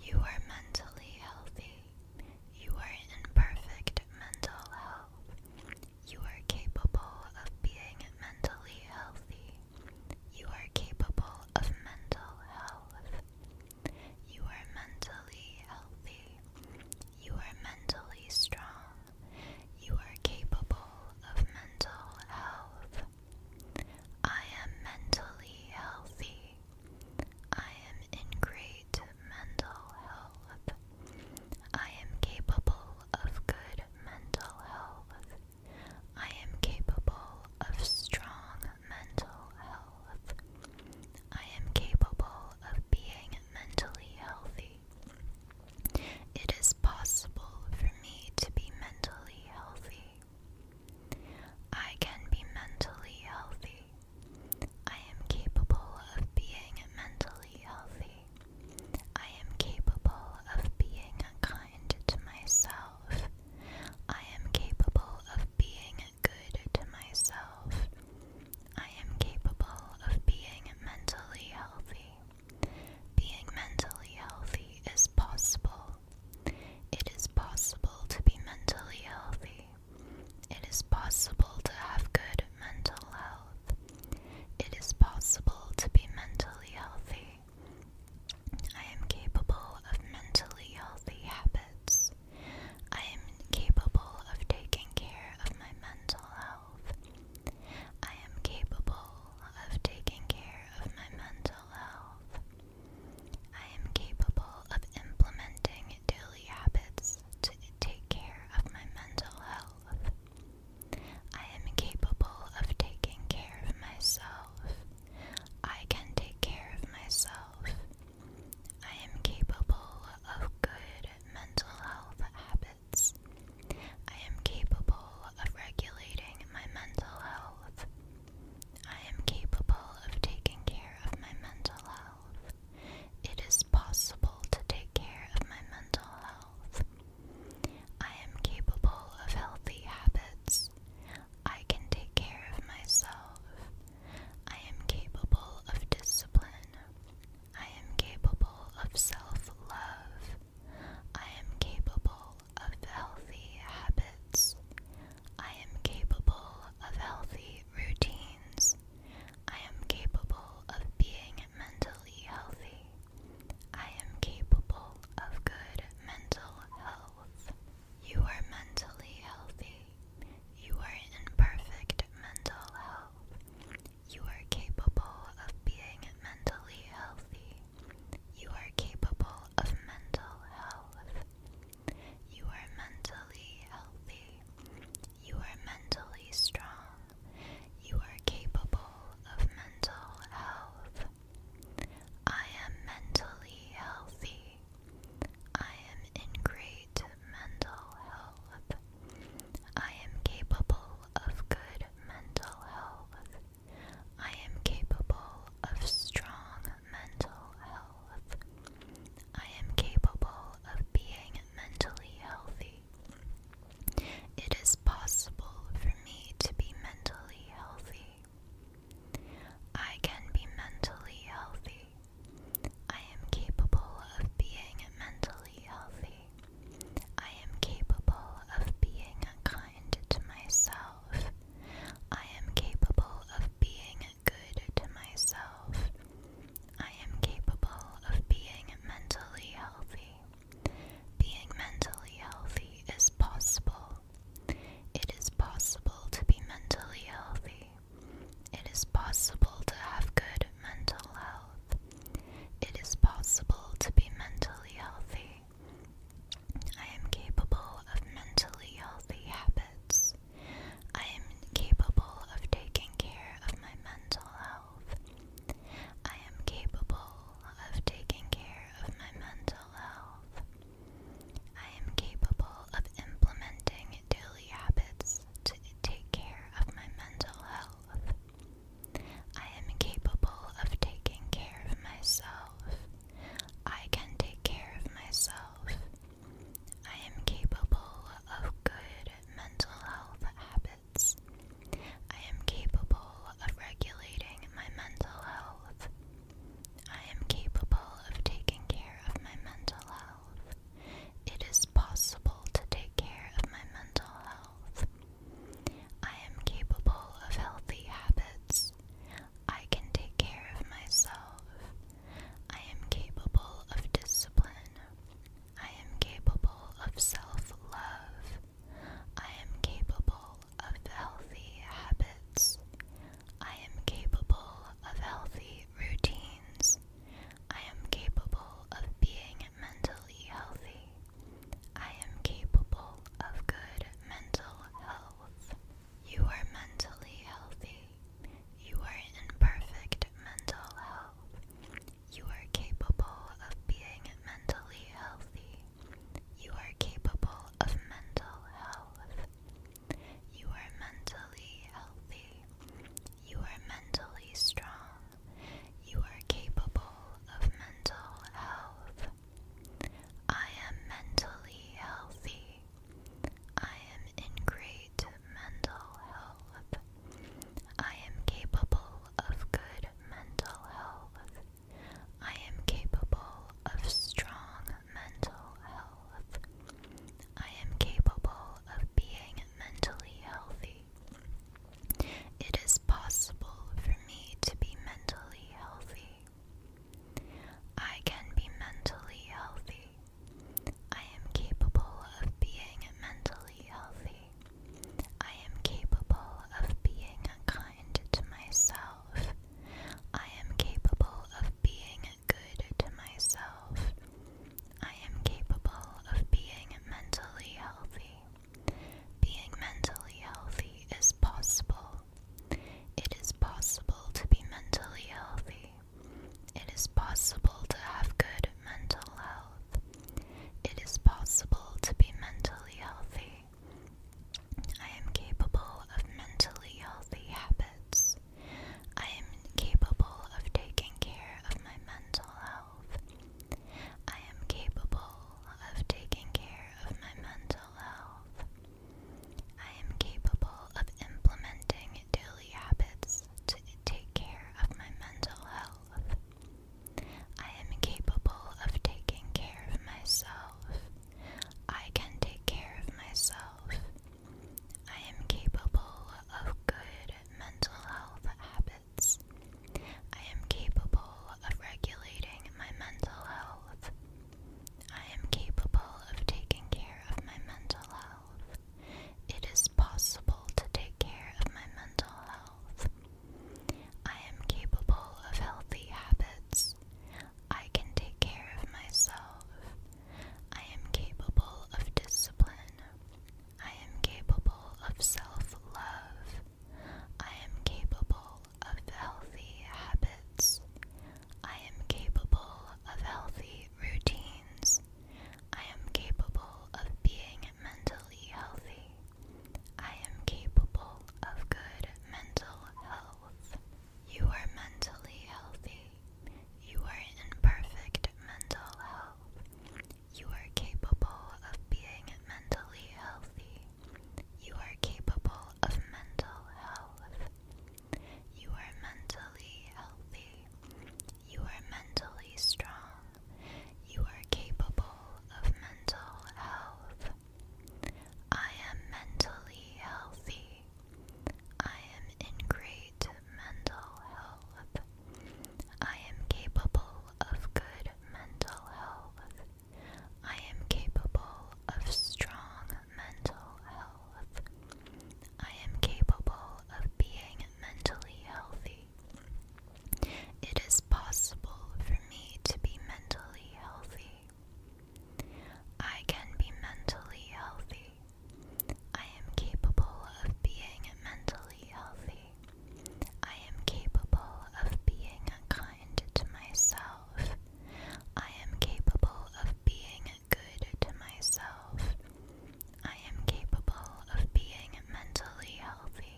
You are mentally healthy. You are in perfect mental health. You are capable of being mentally healthy. You are capable of mental health. You are mentally healthy. You are mentally strong. You are capable of mental health. I am mentally healthy. I am in great mental health. I am capable of good mental health. I am capable of strong mental health. I am capable of being mentally healthy. It is possible for me to be mentally healthy. I can be mentally healthy. I am capable of being mentally healthy. I am capable of being kind to myself. I am capable of being good to myself. I am capable of being mentally healthy. Being mentally healthy is possible. It is possible to be mentally healthy. It is possible to have good mental health. It is possible to be mentally healthy. I am capable of mentally healthy habits. I am capable of taking care of my mental health. I am capable of taking care of my mental health. I am capable of implementing daily habits to take care of my mental health. I am capable of taking care of myself. I can take care of myself. I am capable of good mental health habits. I am capable of regulating my mental health. I am capable of taking care of my mental health. It is possible to take care of my mental health. I am capable of healthy habits. I can take care of myself. I am capable of discipline. I am capable of self love. I am capable of healthy habits. I am capable of healthy routines. I am capable of being mentally healthy. I am capable of good mental health. You are mentally healthy. You are in perfect mental health. You are capable of being mentally healthy. You are capable of mental health. You are mentally healthy. You are mentally strong. You are capable of mental health. I am mentally healthy. I am in great mental health. I am capable of good mental health. I am capable of strong mental health. I am capable of being mentally healthy. It is possible for me to be mentally healthy. I can be mentally healthy. I am capable of being mentally healthy. I am capable of being kind to myself. I am capable of being good to myself. I am capable of being mentally healthy. Being mentally healthy is possible. It is possible to be mentally healthy. It is possible to have good mental health. It is possible to be mentally healthy. I am capable of mentally healthy habits. I am capable of taking care of my mental health. I am capable of taking care of my mental health. I am capable of implementing daily habits to take care of my mental health. I am capable of taking care of myself. I can take care of myself. I am capable of good mental health habits. I am capable of regulating my mental health. I am capable of taking care of my mental health. It is possible to take care of my mental health. I am capable of healthy habits. I can take care of myself. I am capable of discipline. I am capable of self love. I am capable of healthy habits. I am capable of healthy routines. I am capable of being mentally healthy. I am capable of good mental health. You are mentally healthy. You are in perfect mental health. You are capable of being mentally healthy. You are capable of mental health. You are mentally healthy. You are mentally strong. You are capable of mental health. I am mentally healthy. I am in great mental health. I am capable of good mental health. I am capable of strong mental health. I am capable of being mentally healthy. It is possible for me to be mentally healthy. I can be mentally healthy. I am capable of being mentally healthy. I am capable of being kind to myself. I am capable of being good to myself. I am capable of being mentally healthy. Being mentally healthy is possible. It is possible to be mentally healthy. It is possible to have good mental health. It is possible to be mentally healthy. I am capable of mentally healthy habits. I am capable of taking care of my mental health. I am capable of taking care of my mental health. I am capable of implementing daily habits to take care of my mental health. I am capable of taking care of myself. I can take care of myself. I am capable of good mental health habits. I am capable of regulating my mental health. I am capable of taking care of my mental health. It is possible to take care of my mental health. I am capable of healthy habits. I can take care of myself. I am capable of discipline. I am capable of self love. I am capable of healthy habits. I am capable of healthy routines. I am capable of being mentally healthy. I am capable of good mental health. You are mentally healthy. You are in perfect mental health. You are capable of being mentally healthy. You are capable of mental health. You are mentally healthy. You are mentally strong. You are capable of mental health. I am mentally healthy. I am in great mental health. I am capable of good mental health. I am capable of strong mental health. I am capable of being mentally healthy. It is possible for me to be mentally healthy. I can be mentally healthy. I am capable of being mentally healthy. I am capable of being kind to myself. I am capable of being good to myself. I am capable of being mentally healthy.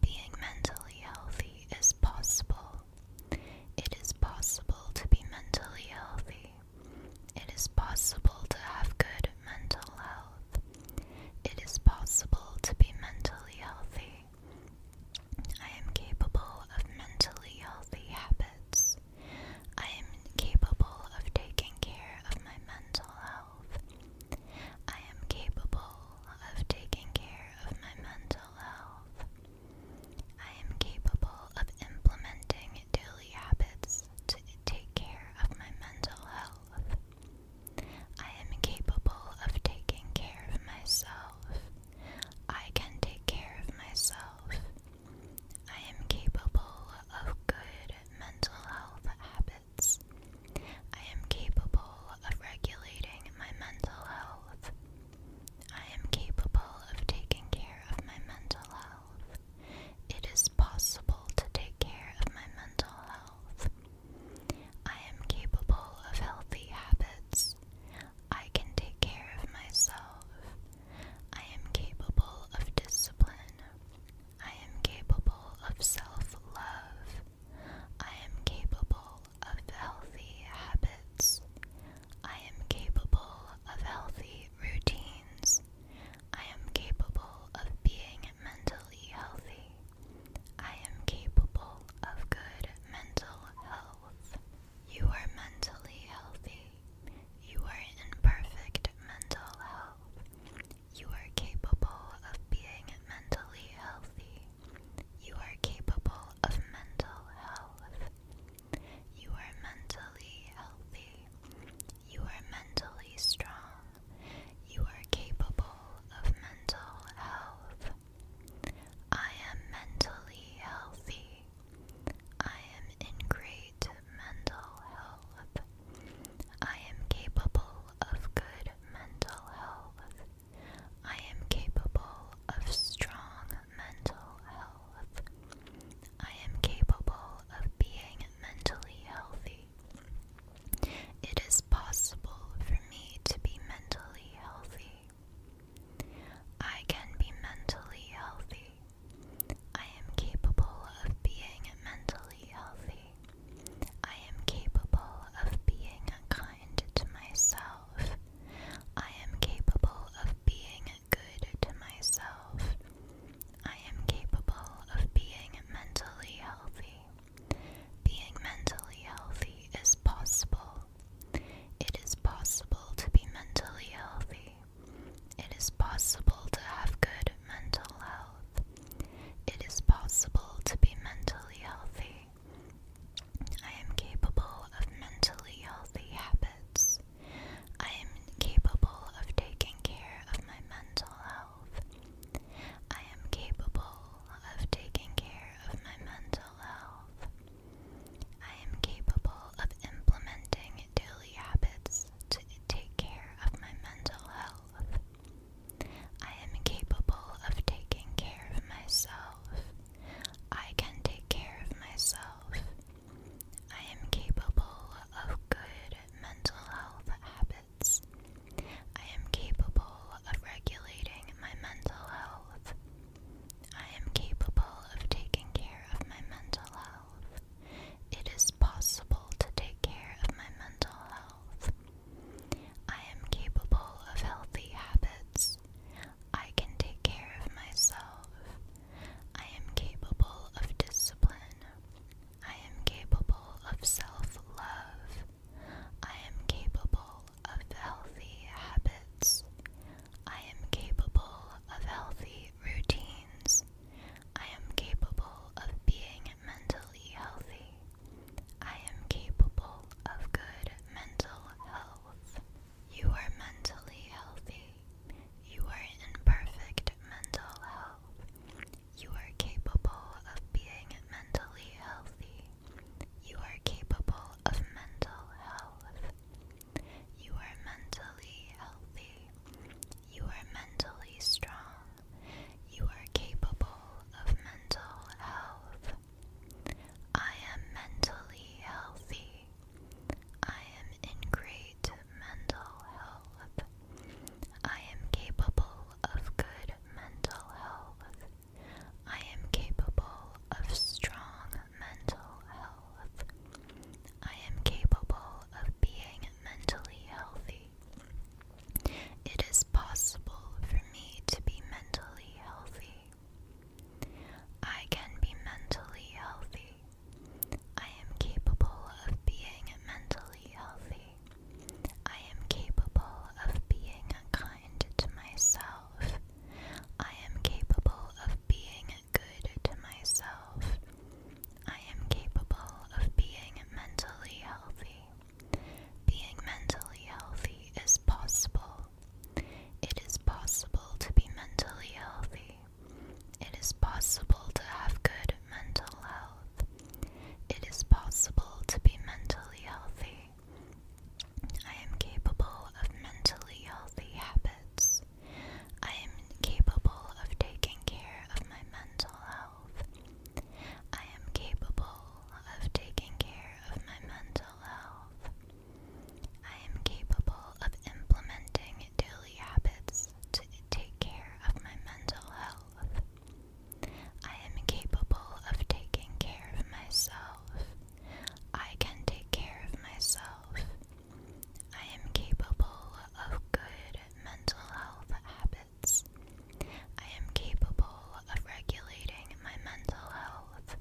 Being mentally healthy is possible. It is possible to be mentally healthy. It is possible to have good mental health. It is possible to be mentally healthy. I am capable of mentally healthy habits. I am capable of taking care of my mental health. I am capable of taking care of my mental health. I am capable of implementing daily habits to take care of my mental health. I am capable of taking care of myself. I can take care of myself. I am capable of good mental health habits. I am capable of regulating my mental health. I am capable of taking care of my mental health. It is possible to take care of my mental health. I am capable of healthy habits. I can take care of myself. I am capable of discipline. I am capable of self love. I am capable of healthy habits. I am capable of healthy routines. I am capable of being mentally healthy. I am capable of good mental health. You are mentally healthy. You are in perfect mental health. You are capable of being mentally healthy. You are capable of mental health. You are mentally healthy. You are mentally strong. You are capable of mental health. I am mentally healthy. I am in great mental health. I am capable of good mental health. I am capable of strong mental health. I am capable of being mentally healthy. It is possible for me to be mentally healthy. I can be mentally healthy. I am capable of being mentally healthy. I am capable of being kind to myself. I am capable of being good to myself. I am capable of being mentally healthy. Being mentally healthy is possible. It is possible to be mentally healthy. It is possible to have good mental health. It is possible to be mentally healthy. I am capable of mentally healthy habits. I am capable of taking care of my mental health. I am capable of taking care of my mental health. I am capable of implementing daily habits to take care of my mental health. I am capable of taking care of myself. I can take care of myself. I am capable of good mental health habits. I am capable of regulating my mental health. I am capable of taking care of my mental health. It is possible to take care of my mental health. I am capable of healthy habits. I can take care of myself. I am capable of discipline. I am capable of self love. I am capable of healthy habits. I am capable of healthy routines. I am capable of being mentally healthy. I am capable of good mental health. You are mentally healthy. You are in perfect mental health. You are capable of being mentally healthy. You are capable of mental health. You are mentally healthy. You are mentally strong. You are capable of mental health. I am mentally healthy. I am in great mental health. I am capable of good mental health. I am capable of strong mental health. I am capable of being mentally healthy. It is possible for me to be mentally healthy. I can be mentally healthy. I am capable of being mentally healthy. I am capable of being kind to myself. I am capable of being good to myself. I am capable of being mentally healthy. Being mentally healthy is possible. It is possible to be mentally healthy. It is possible to have good mental health. It is possible to be mentally healthy. I am capable of mentally healthy habits. I am capable of taking care of my mental health. I am capable of taking care of my mental health. I am capable of implementing daily habits to take care of my mental health. I am capable of taking care of myself. I can take care of myself. I am capable of good mental health habits. I am capable of regulating my mental health.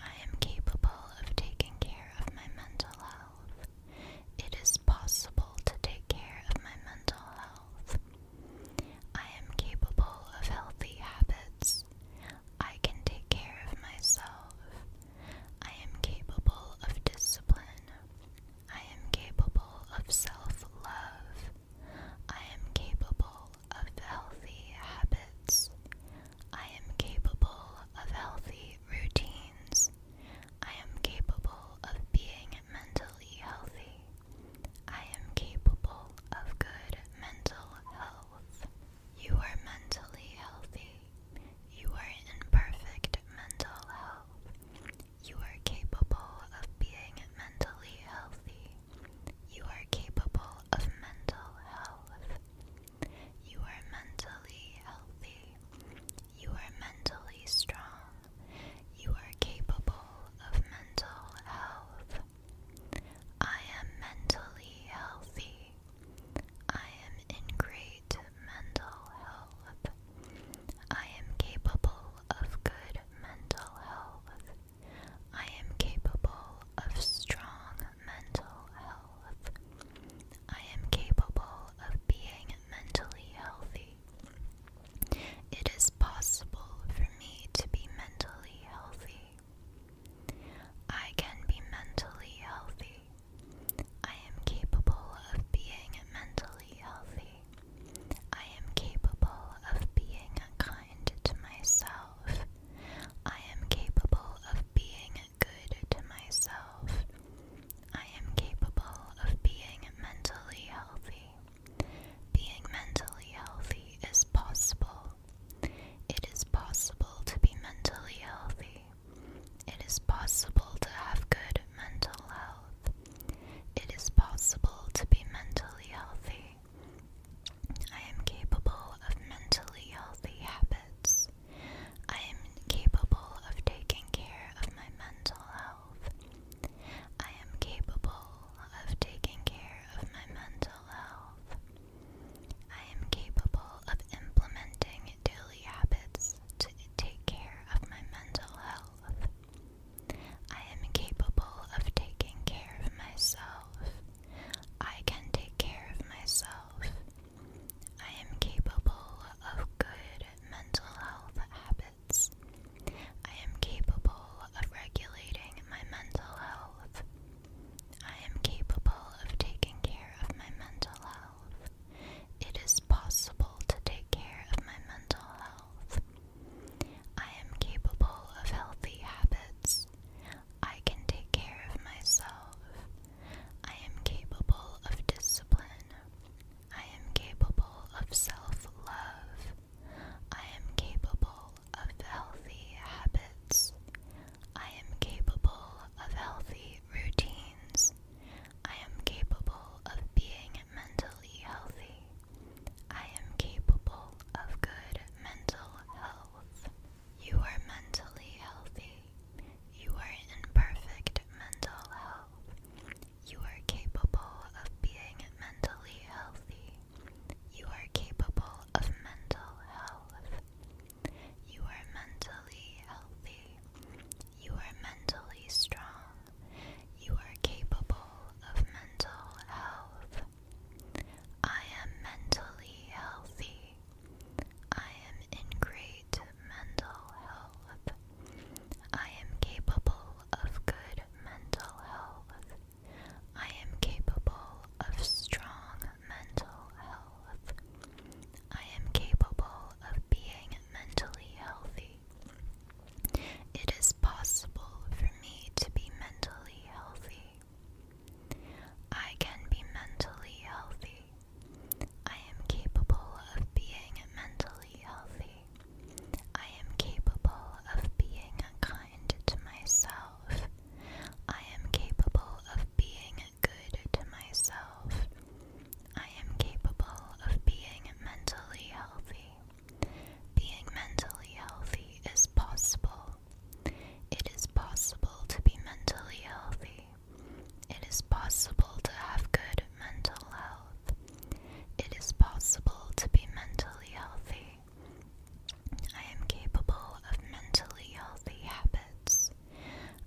I am capable of taking care of my mental health. It is possible to take care of my mental health. I am capable of healthy habits. I can take care of myself. I am capable of discipline. I am capable of self love. I am capable of healthy habits. I am capable of healthy routines. I am capable of being mentally healthy. I am capable of good mental health. You are mentally healthy. You are in perfect mental health. You are capable of being mentally healthy. You are capable of mental health. You are mentally healthy. You are mentally strong. You are capable of mental health. I am mentally healthy. I am in great mental health. I am capable of good mental health. I am capable of strong mental health. I am capable of being mentally healthy. It is possible for me to be mentally healthy. I can be mentally healthy. I am capable of being mentally healthy. I am capable of being kind to myself. I am capable of being good to myself. I am capable of being mentally healthy. Being mentally healthy is possible. It is possible to be mentally healthy. It is possible to have good mental health. It is possible to be mentally healthy. I am capable of mentally healthy habits. I am capable of taking care of my mental health. I am capable of taking care of my mental health. I am capable of implementing daily habits to take care of my mental health. I am capable of taking care of myself. I can take care of myself. I am capable of good mental health habits. I am capable of regulating my mental health. I am capable of taking care of my mental health. It is possible to take care of my mental health. I am capable of healthy habits. I can take care of myself. I am capable of discipline. I am capable of self love. I am capable of healthy habits. I am capable of healthy routines. I am capable of being mentally healthy. I am capable of good mental health. You are mentally healthy. You are in perfect mental health. You are capable of being mentally healthy. You are capable of mental health. You are mentally healthy. You are mentally strong. You are capable of mental health. I am mentally healthy. I am in great mental health. I am capable of good mental health. I am capable of strong mental health. I am capable of being mentally healthy. It is possible for me to be mentally healthy. I can be mentally healthy. I am capable of being mentally healthy. I am capable of being kind to myself. I am capable of being good to myself. I am capable of being mentally healthy. Being mentally healthy is possible. It is possible to be mentally healthy. It is possible to have good mental health. It is possible to be mentally healthy. I am capable of mentally healthy habits.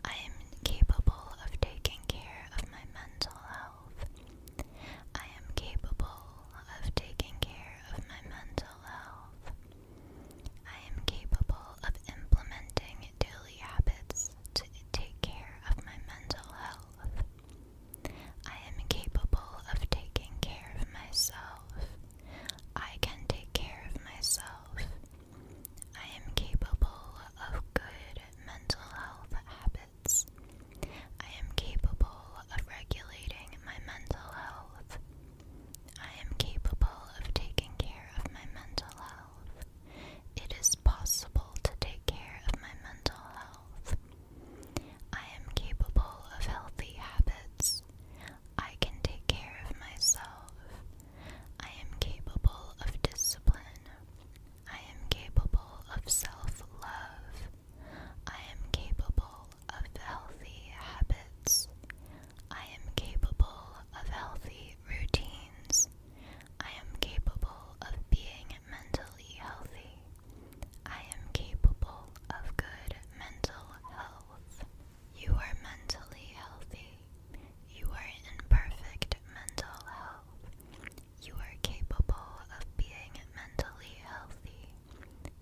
I am capable of taking care of my mental health. I am capable of taking care of my mental health. I am capable of implementing daily habits to take care of my mental health. I am capable of taking care of myself. I can take care of myself. I am capable of good mental health habits. I am capable of regulating my mental health. I am capable of taking care of my mental health. It is possible to take care of my mental health. I am capable of healthy habits. I can take care of myself. I am capable of discipline. I am capable of self love. I am capable of healthy habits. I am capable of healthy routines. I am capable of being mentally healthy. I am capable of good mental health. You are mentally healthy. You are in perfect mental health. You are capable of being mentally healthy.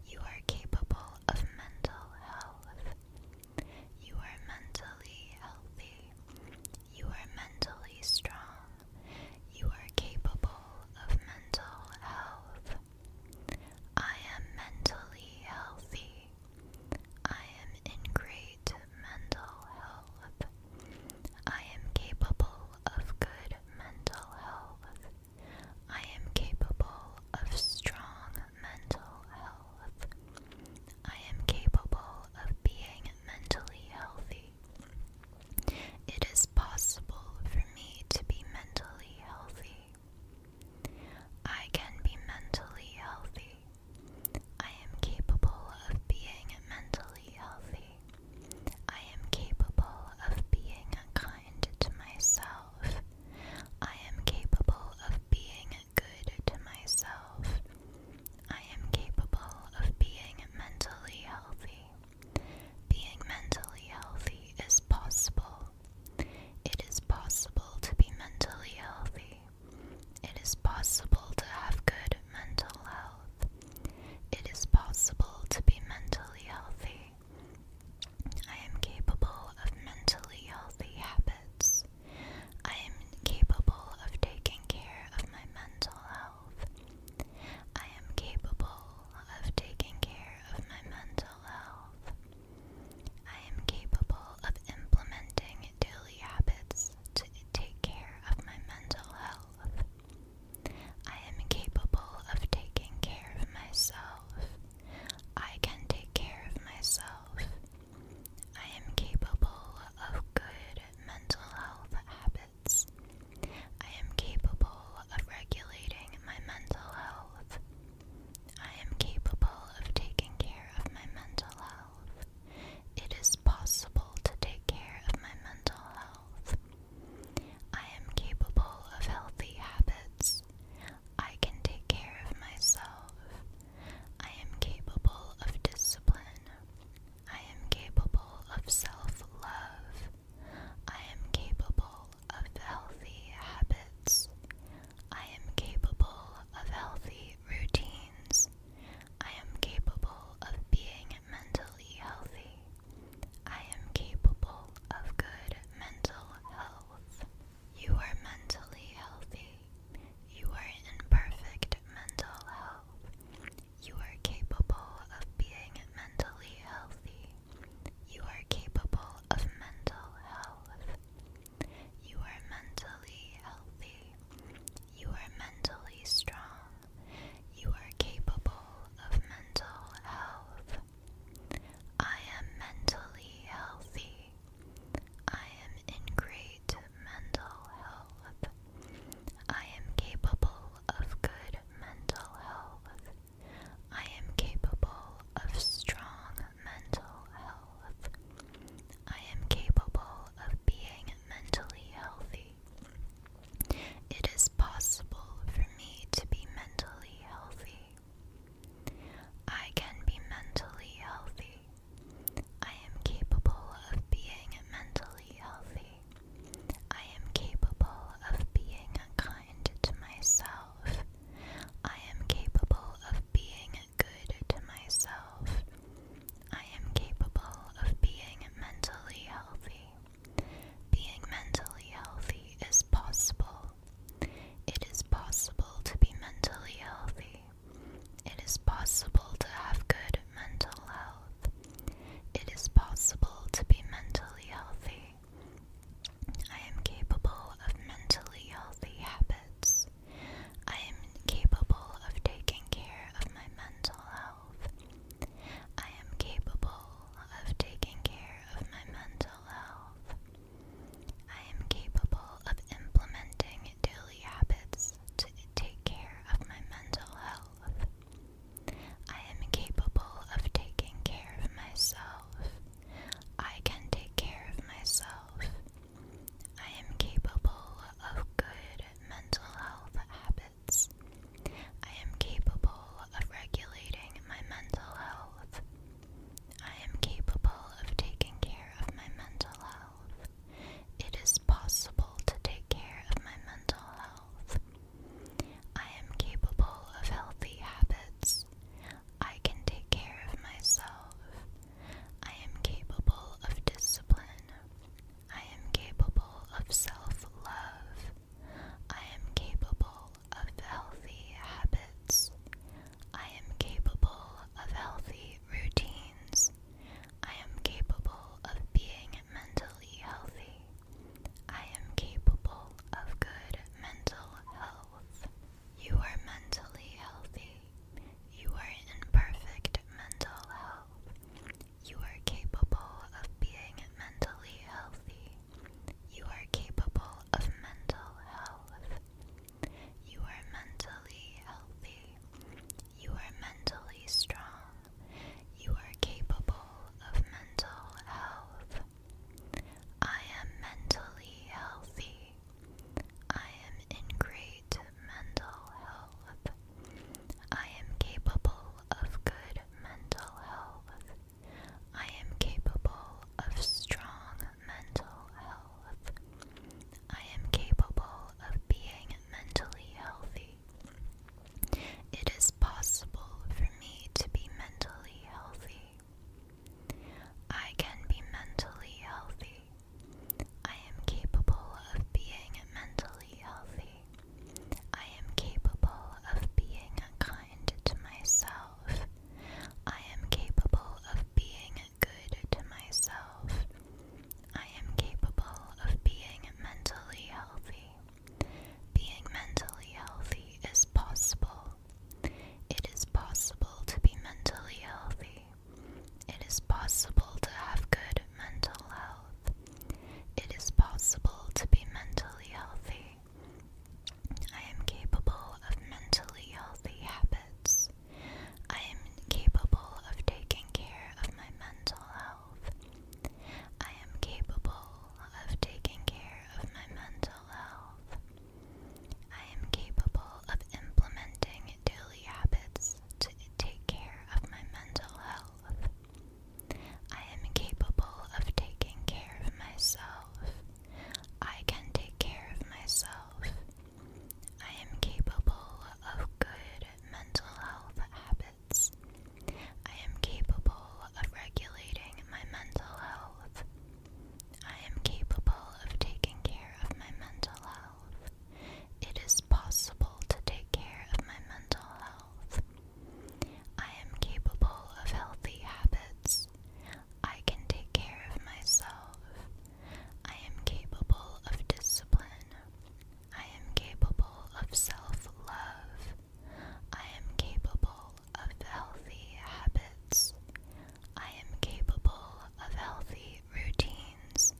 You are capable of mental health. You are mentally healthy. You are mentally strong. You are capable of mental health. I am mentally healthy. I am in great mental health. I am capable of good mental health. I am capable of strong mental health. I am capable of being mentally healthy. It is possible for me to be mentally healthy. I can be mentally healthy. I am capable of being mentally healthy. I am capable of being kind to myself. I am capable of being good to myself. I am capable of being mentally healthy. Being mentally healthy is possible. It is possible to be mentally healthy. It is possible to have good mental health. It is possible to be mentally healthy. I am capable of mentally healthy habits. I am capable of taking care of my mental health. I am capable of taking care of my mental health. I am capable of implementing daily habits to take care of my mental health. I am capable of taking care of myself. I can take care of myself. I am capable of good mental health habits. I am capable of regulating my mental health. I am capable of taking care of my mental health. It is possible to take care of my mental health. I am capable of healthy habits. I can take care of myself. I am capable of discipline. I am capable of self love. I am capable of healthy habits. I am capable of healthy routines. I am capable of being mentally healthy. I am capable of good mental health. You are mentally healthy. You are in perfect mental health. You are capable of being mentally healthy. You are capable of mental health. You are mentally healthy. You are mentally strong. You are capable of mental health. I am mentally healthy. I am in great mental health. I am capable of good mental health. I am capable of strong mental health. I am capable of being mentally healthy. It is possible for me to be mentally healthy. I can be mentally healthy. I am capable of being mentally healthy. I am capable of being kind to myself. I am capable of being good to myself. I am capable of being mentally healthy. Being mentally healthy is possible. It is possible to be mentally healthy. It is possible to have good mental health. It is possible to be mentally healthy. I am capable of mentally healthy habits. I am capable of taking care of my mental health. I am capable of taking care of my mental health. I am capable of implementing daily habits to take care of my mental health. I am capable of taking care of myself. I can take care of myself. I am capable of good mental health habits. I am capable of regulating my mental health. I am capable of taking care of my mental health. It is possible to take care of my mental health. I am capable of healthy habits. I can take care of myself. I am capable of discipline. I am capable of self love. I am capable of healthy habits. I am capable of healthy routines. I am capable of being mentally healthy. I am capable of good mental health. You are mentally healthy. You are in perfect mental health. You are capable of being mentally healthy. You are capable of mental health. You are mentally healthy. You are mentally strong. You are capable of mental health. I am mentally healthy. I am in great mental health. I am capable of good mental health. I am capable of strong mental health. I am capable of being mentally healthy. It is possible for me to be mentally healthy. I can be mentally healthy. I am capable of being mentally healthy. I am capable of being kind to myself. I am capable of being good to myself. I am capable of being mentally healthy. Being mentally healthy is possible. It is possible to be mentally healthy. It is possible to have good mental health. It is possible to be mentally healthy. I am capable of mentally healthy habits. I am capable of taking care of my mental health. I am capable of taking care of my mental health. I am capable of implementing daily habits to take care of my mental health. I am capable of taking care of myself. I can take care of myself. I am capable of good mental health habits. I am capable of regulating my mental health. I am capable of taking care of my mental health. It is possible to take care of my mental health. I am capable of healthy habits. I can take care of myself. I am capable of discipline. I am capable of self love. I am capable of healthy habits. I am capable of healthy routines.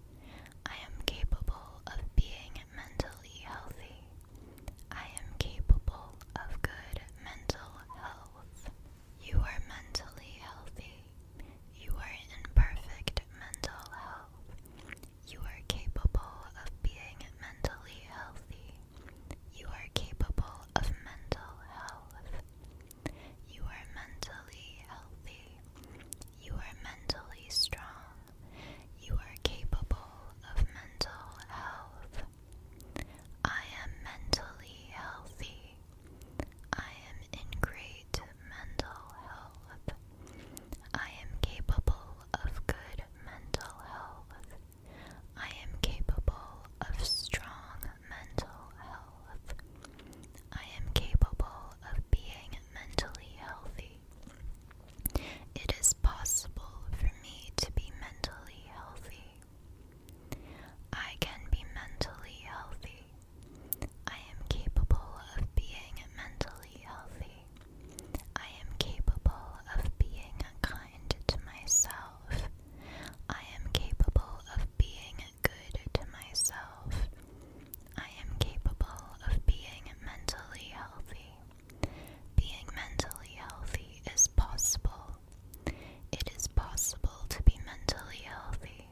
I am capable of being mentally healthy. I am capable of good mental health. You are mentally healthy. You are in perfect mental health. You are capable of being mentally healthy. You are capable of mental health. You are mentally healthy. You are mentally strong. You are capable of mental health. I am mentally healthy. I am in great mental health. I am capable of good mental health. I am capable of strong mental health. I am capable of being mentally healthy. It is possible for me to be mentally healthy. I can be mentally healthy. I am capable of being mentally healthy. I am capable of being kind to myself. I am capable of being good to myself. I am capable of being mentally healthy. Being mentally healthy is possible. It is possible to be mentally healthy.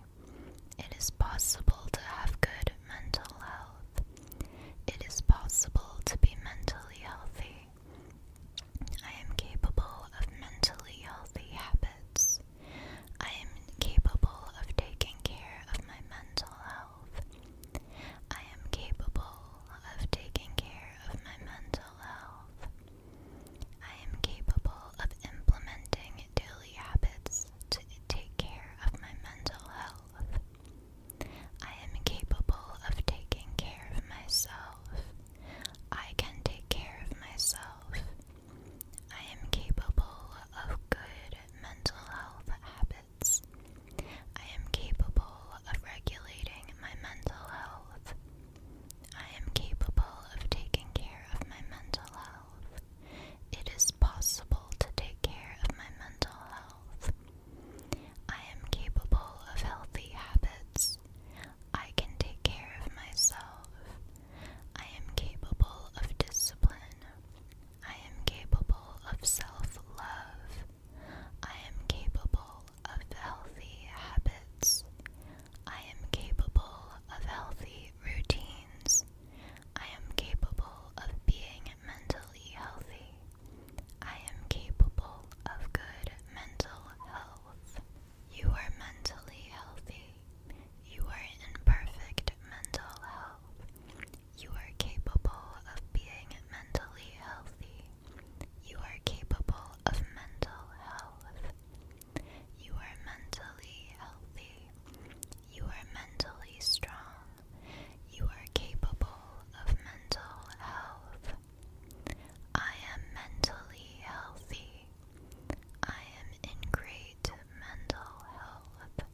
It is possible to have good mental health. It is possible to be mentally healthy. I am capable of mentally healthy habits. I am capable of taking care of my mental health. I am capable of taking care of my mental health. I am capable of implementing daily habits to take care of my mental health. I am capable of taking care of myself. I can take care of myself. I am capable of good mental health habits. I am capable of regulating my mental health. I am capable of taking care of my mental health. It is possible to take care of my mental health. I am capable of healthy habits. I can take care of myself. I am capable of discipline. I am capable of self love. I am capable of healthy habits. I am capable of healthy routines. I am capable of being mentally healthy. I am capable of good mental health. You are mentally healthy. You are in perfect mental health. You are capable of being mentally healthy. You are capable of mental health. You are mentally healthy. You are mentally strong. You are capable of mental health. I am mentally healthy. I am in great mental health.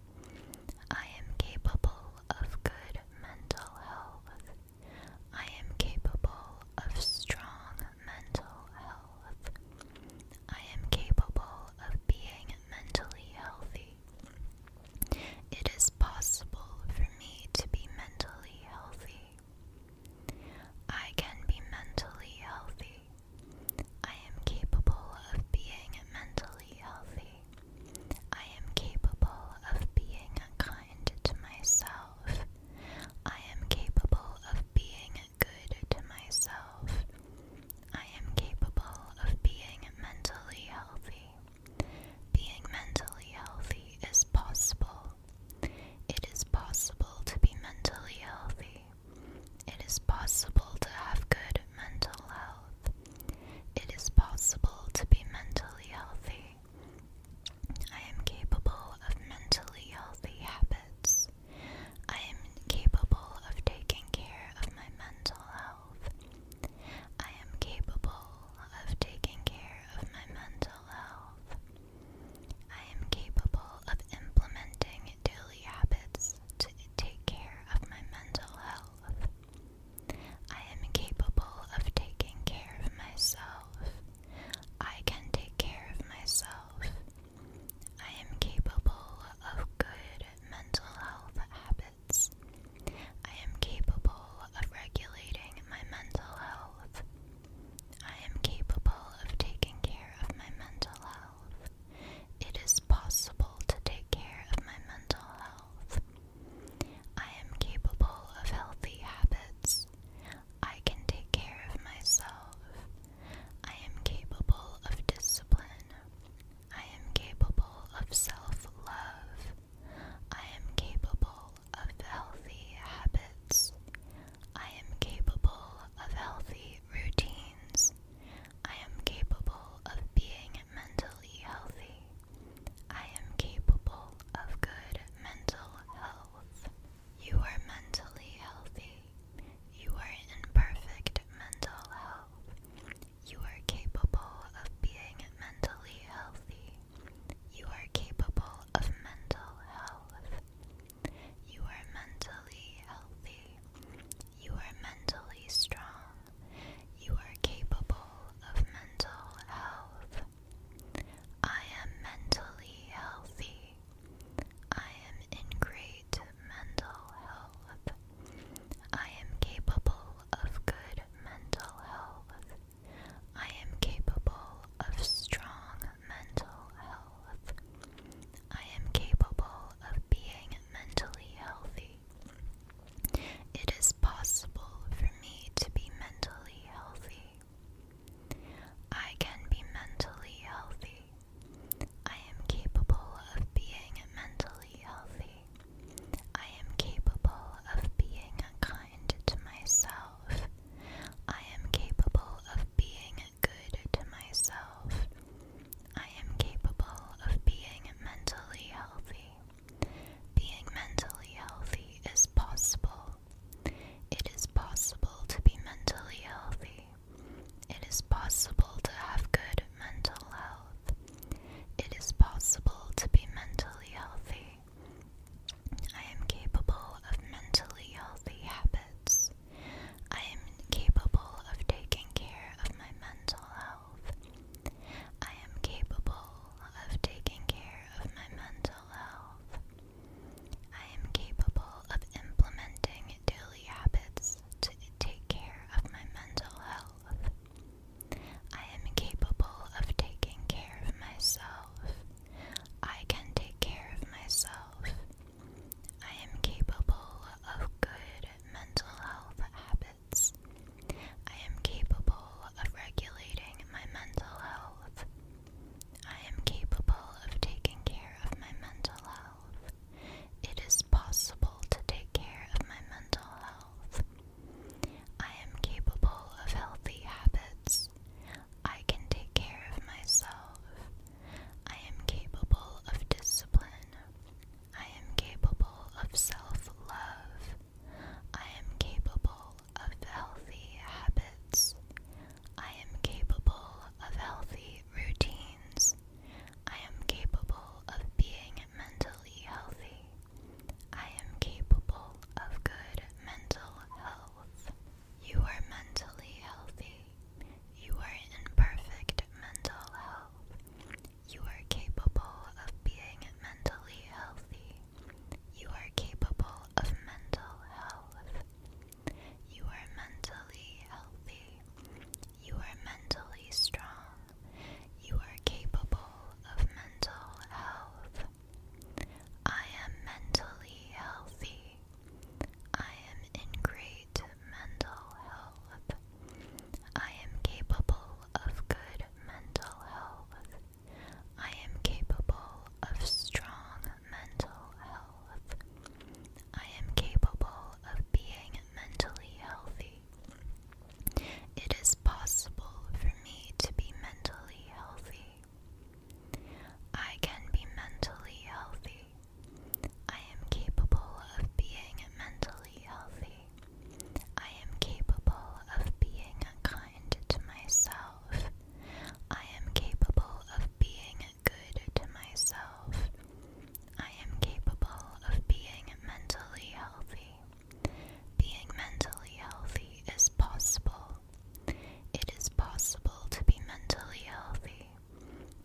I am capable of good mental health. I am capable of strong mental health. I am capable of being mentally healthy. It is possible for me to be mentally healthy. I can be mentally healthy. I am capable of being mentally healthy. I am capable of being kind to myself. I am capable of being good to myself. I am capable of being mentally healthy. Being mentally healthy is possible. It is possible to be mentally healthy. It is possible to have good mental health. It is possible to be mentally healthy. I am capable of mentally healthy habits. I am capable of taking care of my mental health. I am capable of taking care of my mental health. I am capable of implementing daily habits to take care of my mental health. I am capable of taking care of myself. I can take care of myself. I am capable of good mental health habits. I am capable of regulating my mental health. I am capable of taking care of my mental health. It is possible to take care of my mental health. I am capable of healthy habits. I can take care of myself. I am capable of discipline. I am capable of self love. I am capable of healthy habits. I am capable of healthy routines. I am capable of being mentally healthy. I am capable of good mental health. You are mentally healthy. You are in perfect mental health. You are capable of being mentally healthy. You are capable of mental health. You are mentally healthy. You are mentally strong. You are capable of mental health. I am mentally healthy. I am in great mental health. I am capable of good mental health. I am capable of strong mental health. I am capable of being mentally healthy. It is possible for me to be mentally healthy. I can be mentally healthy. I am capable of being mentally healthy. I am capable of being kind to myself. I am capable of being good to myself. I am capable of being mentally healthy. Being mentally healthy is possible. It is possible to be mentally healthy. It is possible to have good mental health. It is possible to be mentally healthy. I am capable of mentally healthy habits. I am capable of taking care of my mental health. I am capable of taking care of my mental health. I am capable of implementing daily habits to take care of my mental health. I am capable of taking care of myself. I can take care of myself. I am capable of good mental health habits. I am capable of regulating my mental health. I am capable of taking care of my mental health. It is possible to take care of my mental health. I am capable of healthy habits. I can take care of myself. I am capable of discipline. I am capable of self love. I am capable of healthy habits. I am capable of healthy routines. I am capable of being mentally healthy. I am capable of good mental health. You are mentally healthy. You are in perfect mental health. You are capable of being mentally healthy. You are capable of mental health. You are mentally healthy. You are mentally strong. You are capable of mental health. I am mentally healthy. I am in great mental health. I am capable of good mental health. I am capable of strong mental health. I am capable of being mentally healthy. It is possible for me to be mentally healthy. I can be mentally healthy. I am capable of being mentally healthy. I am capable of being kind to myself. I am capable of being good to myself. I am capable of being mentally healthy. Being mentally healthy is possible. It is possible to be mentally healthy.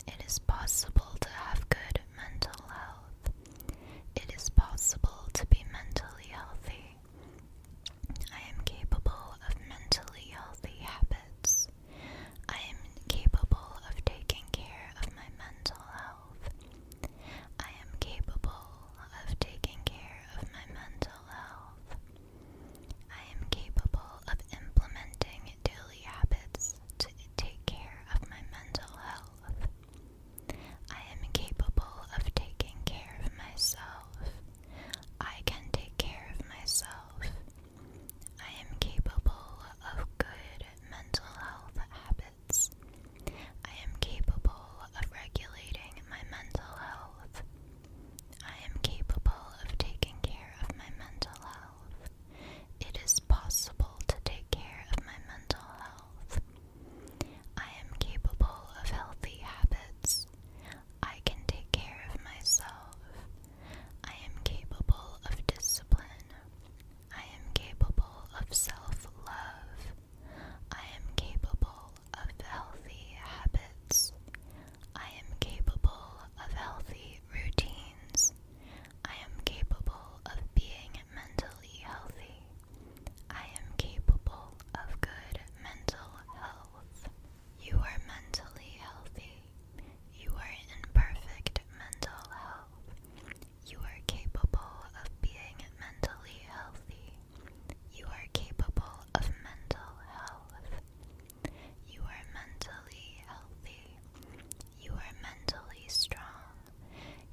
It is possible to have good mental health. It is possible to be mentally healthy. I am capable of mentally healthy habits. I am incapable of taking care of my mental health. I am capable of taking care of my mental health. I am capable of implementing daily habits to take care of my mental health. I am capable of taking care of myself. I can take care of myself. I am capable of good mental health habits. I am capable of regulating my mental health. I am capable of taking care of my mental health. It is possible to take care of my mental health. I am capable of healthy habits. I can take care of myself. I am capable of discipline. I am capable of self love. I am capable of healthy habits. I am capable of healthy routines. I am capable of being mentally healthy. I am capable of good mental health. You are mentally healthy. You are in perfect mental health. You are capable of being mentally healthy. You are capable of mental health. You are mentally healthy. You are mentally strong.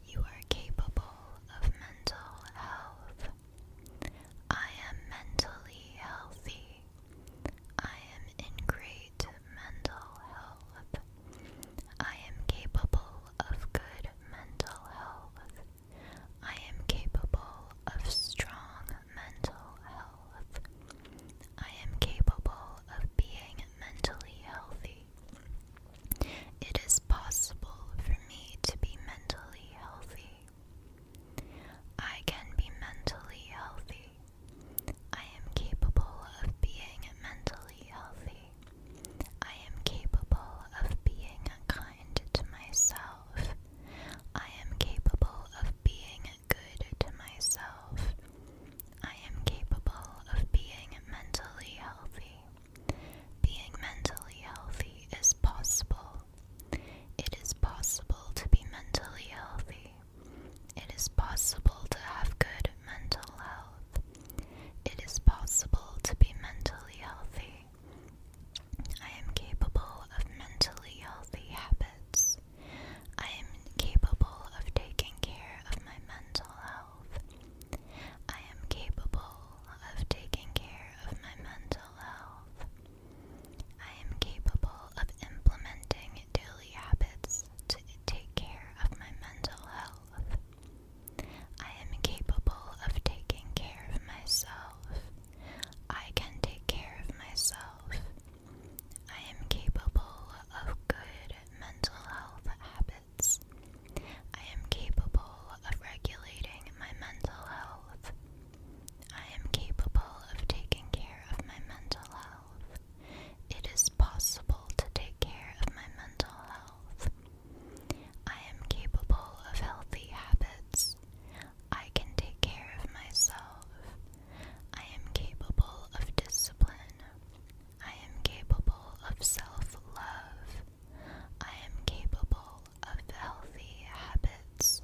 You are capable of mental health. I am mentally healthy. I am in great mental health. I am capable of good mental health. I am capable of strong mental health. I am capable of being mentally healthy. It is possible for me to be mentally healthy. I can be mentally healthy. I am capable of being mentally healthy. I am capable of being kind to myself. I am capable of being good to myself. I am capable of being mentally healthy. Being mentally healthy is possible. It is possible to be mentally healthy. It is possible to have good mental health. It is possible to be mentally healthy. I am capable of mentally healthy habits. I am capable of taking care of my mental health. I am capable of taking care of my mental health. I am capable of implementing daily habits to take care of my mental health. I am capable of taking care of myself. I can take care of myself. I am capable of good mental health habits. I am capable of regulating my mental health. I am capable of taking care of my mental health. It is possible to take care of my mental health. I am capable of healthy habits. I can take care of myself. I am capable of discipline. I am capable of self love. I am capable of healthy habits.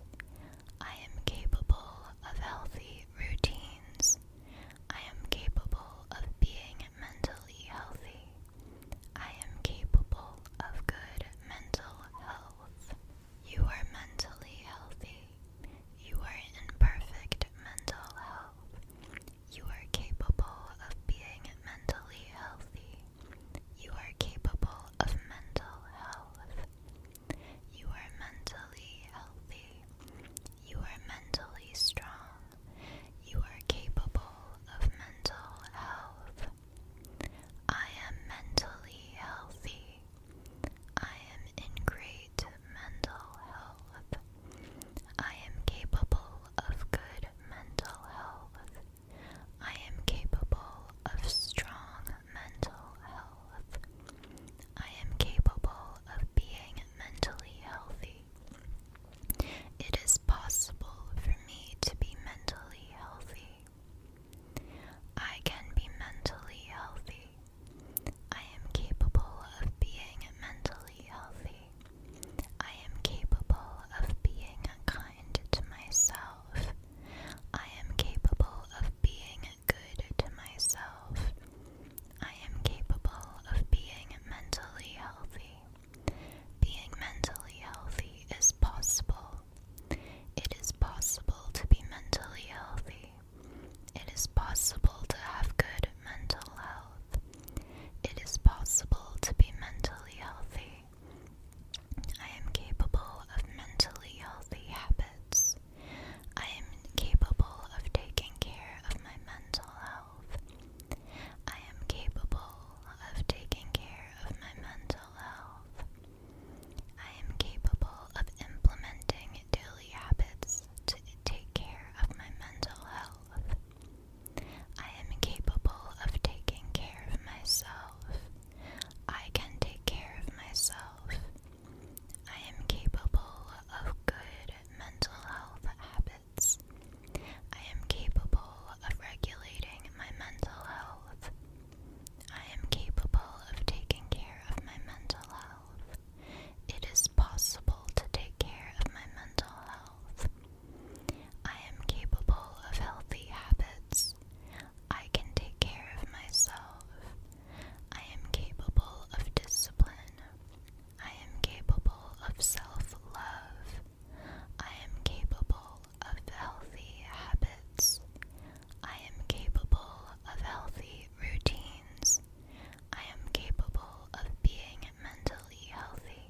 I am capable of healthy routines. I am capable of being mentally healthy. I am capable of good mental health. You are mentally healthy. You are in perfect mental health. You are capable of being mentally healthy. You are capable of mental health. You are mentally healthy. You are mentally strong. You are capable of mental health. I am mentally healthy. I am in great mental health. I am capable of good mental health. I am capable of strong mental health. I am capable of being mentally healthy. It is possible for me to be mentally healthy. I can be mentally healthy. I am capable of being mentally healthy. I am capable of being kind to myself. I am capable of being good to myself. I am capable of being mentally healthy. Being mentally healthy is possible. It is possible to be mentally healthy. It is possible to have good mental health. It is possible to be mentally healthy. I am capable of mentally healthy habits. I am capable of taking care of my mental health. I am capable of taking care of my mental health. I am capable of implementing daily habits to take care of my mental health. I am capable of taking care of myself. I can take care of myself. I am capable of good mental health habits. I am capable of regulating my mental health. I am capable of taking care of my mental health. It is possible to take care of my mental health. I am capable of healthy habits. I can take care of myself. I am capable of discipline. I am capable of self love. I am capable of healthy habits. I am capable of healthy routines. I am capable of being mentally healthy.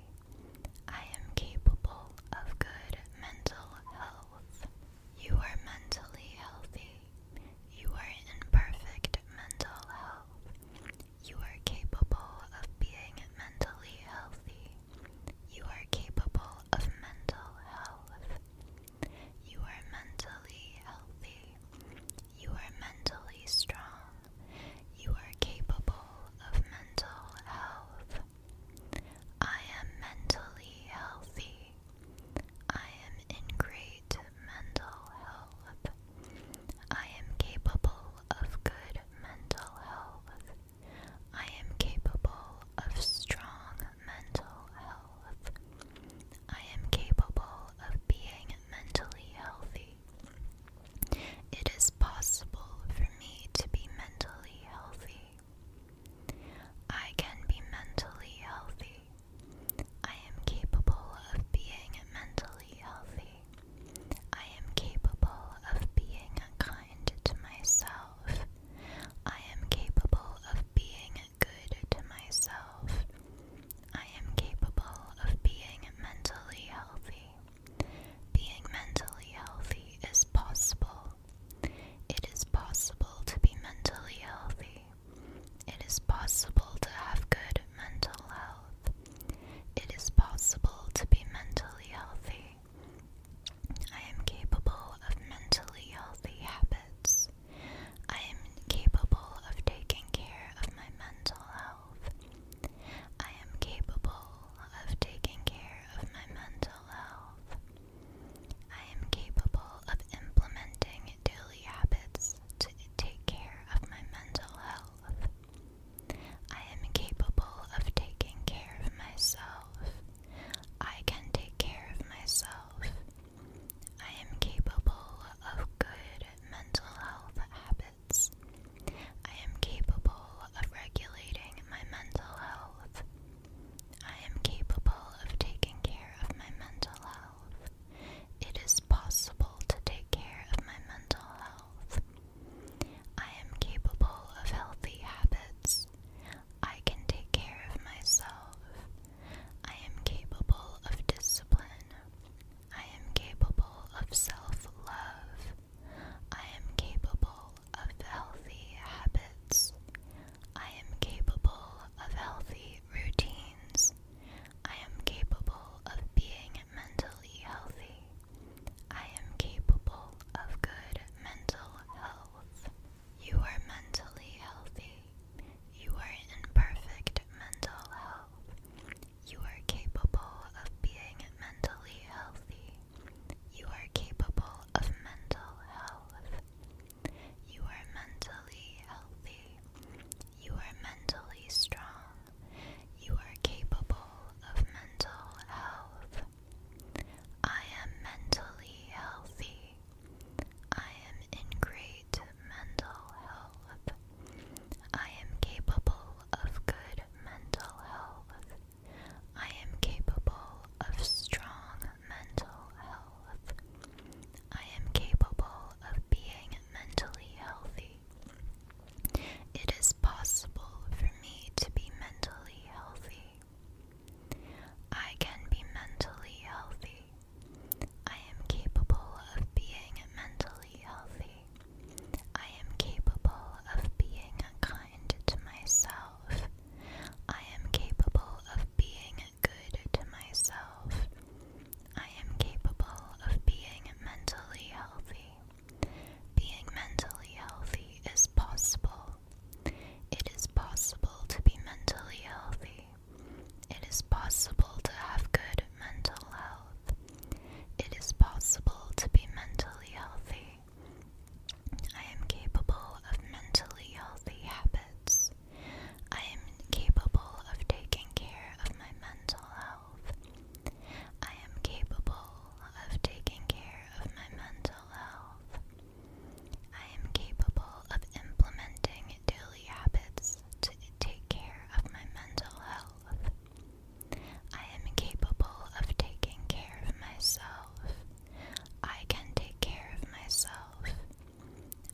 I am capable of good mental health. You are mentally healthy. You are in perfect mental health. You are capable of being mentally healthy. You are capable of mental health. You are mentally healthy. You are mentally strong. You are capable of mental health. I am mentally healthy. I am in great mental health. I am capable of good mental health. I am capable of strong mental health. I am capable of being mentally healthy. It is possible for me to be mentally healthy. I can be mentally healthy. I am capable of being mentally healthy. I am capable of being kind to myself. I am capable of being good to myself. I am capable of being mentally healthy. Being mentally healthy is possible. It is possible to be mentally healthy. It is possible to have good mental health. It is possible to be mentally healthy. I am capable of mentally healthy habits. I am capable of taking care of my mental health. I am capable of taking care of my mental health. I am capable of implementing daily habits to take care of my mental health. I am capable of taking care of myself. I can take care of myself. I am capable of good mental health habits. I am capable of regulating my mental health. I am capable of taking care of my mental health. It is possible to take care of my mental health. I am capable of healthy habits. I can take care of myself. I am capable of discipline. I am capable of self love. I am capable of healthy habits. I am capable of healthy routines. I am capable of being mentally healthy. I am capable of good mental health. You are mentally healthy. You are in perfect mental health. You are capable of being mentally healthy. You are capable of mental health. You are mentally healthy. You are mentally strong. You are capable of mental health. I am mentally healthy. I am in great mental health. I am capable of good mental health. I am capable of strong mental health. I am capable of being mentally healthy. It is possible for me to be mentally healthy. I can be mentally healthy. I am capable of being mentally healthy. I am capable of being kind to myself. I am capable of being good to myself. I am capable of being mentally healthy. Being mentally healthy is possible. It is possible to be mentally healthy. It is possible to have good mental health. It is possible to be mentally healthy. I am capable of mentally healthy habits. I am capable of taking care of my mental health. I am capable of taking care of my mental health. I am capable of implementing daily habits to take care of my mental health. I am capable of taking care of myself. I can take care of myself.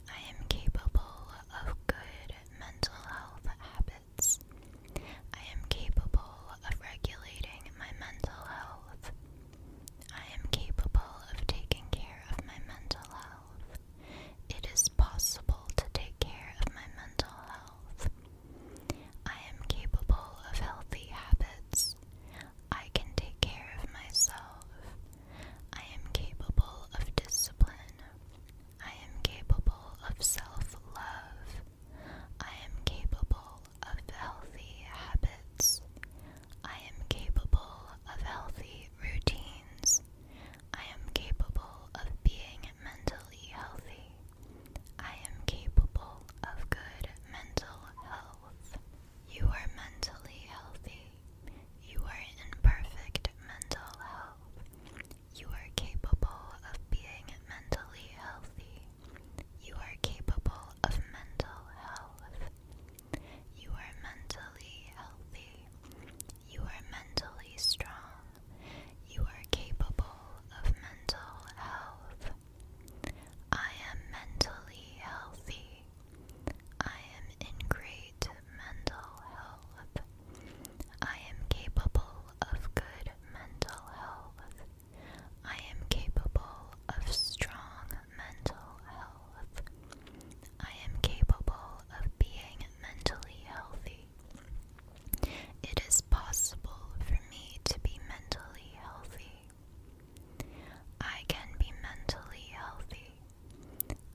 I am capable of good mental health habits. I am capable of regulating my mental health. I am capable of taking care of my mental health. It is possible to take care of my mental health. I am capable of healthy habits. I can take care of myself. I am capable of discipline. I am capable of self love. I am capable of healthy habits. I am capable of healthy routines. I am capable of being mentally healthy. I am capable of good mental health. You are mentally healthy. You are in perfect mental health. You are capable of being mentally healthy. You are capable of mental health. You are mentally healthy. You are mentally strong. You are capable of mental health. I am mentally healthy. I am in great mental health. I am capable of good mental health. I am capable of strong mental health. I am capable of being mentally healthy. It is possible for me to be mentally healthy. I can be mentally healthy.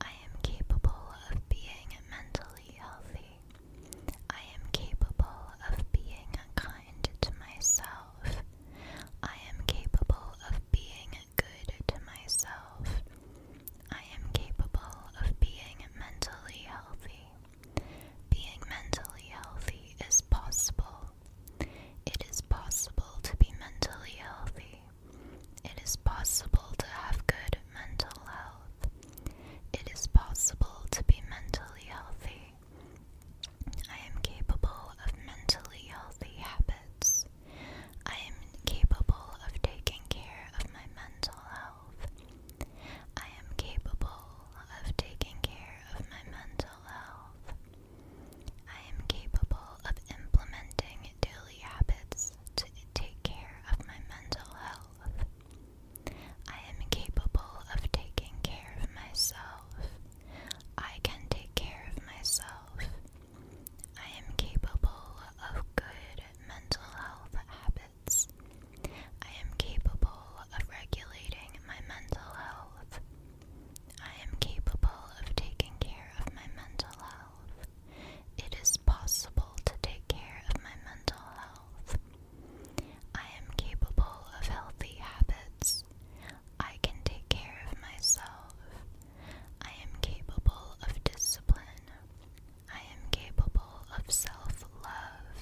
I am capable of being mentally healthy. I am capable of being kind to myself. I am capable of being good to myself. I am capable of being mentally healthy. Being mentally healthy is possible. It is possible to be mentally healthy. It is possible to have good mental health. It is possible to be mentally healthy. I am capable of mentally healthy habits. I am capable of taking care of my mental health. I am capable of taking care of my mental health. I am capable of implementing daily habits to take care of my mental health. I am capable of taking care of myself. I can take care of myself. I am capable of good mental health habits. I am capable of regulating my mental health. I am capable of taking care of my mental health. It is possible to take care of my mental health. I am capable of healthy habits. I can take care of myself. I am capable of discipline. I am capable of self love.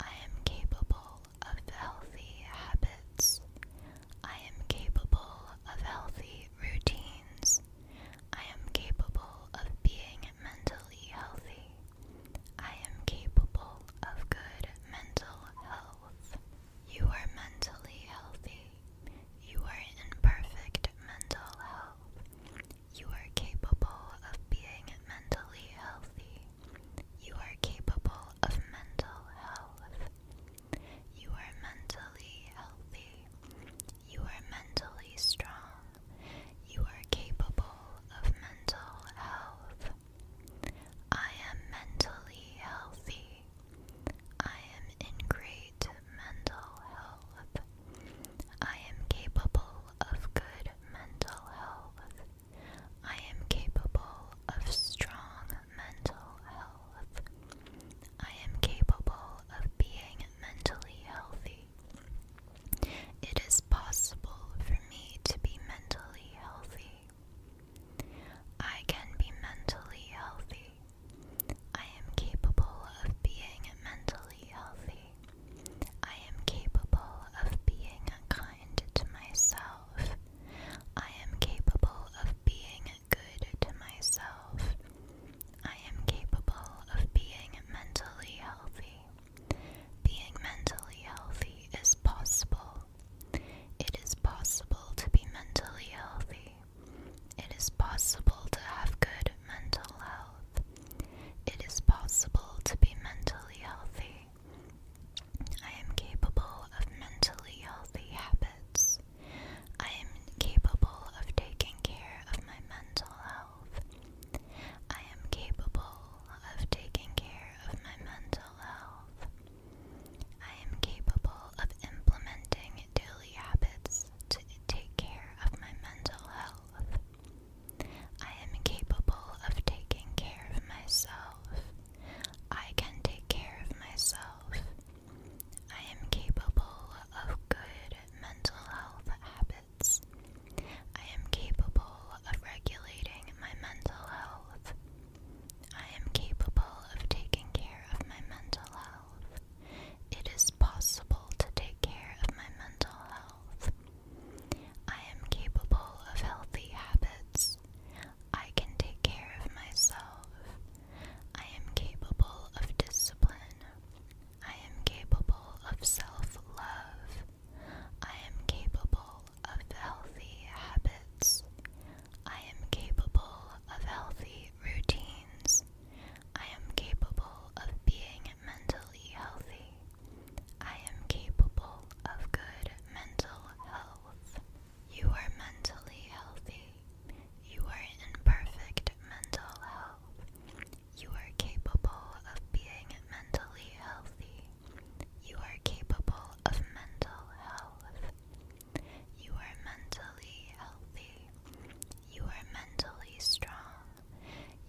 I am capable of healthy habits. I am capable of healthy routines. I am capable of being mentally healthy. I am capable of good mental health. You are mentally healthy. You are in perfect mental health. You are capable of being mentally healthy. You are capable of mental health. You are mentally healthy. You are mentally strong. You are capable of mental health. I am mentally healthy. I am in great mental health. I am capable of good mental health. I am capable of strong mental health. I am capable of being mentally healthy. It is possible for me to be mentally healthy. I can be mentally healthy. I am capable of being mentally healthy. I am capable of being kind to myself. I am capable of being good to myself. I am capable of being mentally healthy. Being mentally healthy is possible. It is possible to be mentally healthy. It is possible to have good mental health. It is possible to be mentally healthy. I am capable of mentally healthy habits. I am capable of taking care of my mental health. I am capable of taking care of my mental health. I am capable of implementing daily habits to take care of my mental health. I am capable of taking care of myself. I can take care of myself. I am capable of good mental health habits. I am capable of regulating my mental health. I am capable of taking care of my mental health. It is possible to take care of my mental health. I am capable of healthy habits. I can take care of myself. I am capable of discipline. I am capable of self love. I am capable of healthy habits. I am capable of healthy routines. I am capable of being mentally healthy. I am capable of good mental health. You are mentally healthy. You are in perfect mental health. You are capable of being mentally healthy. You are capable of mental health. You are mentally healthy. You are mentally strong.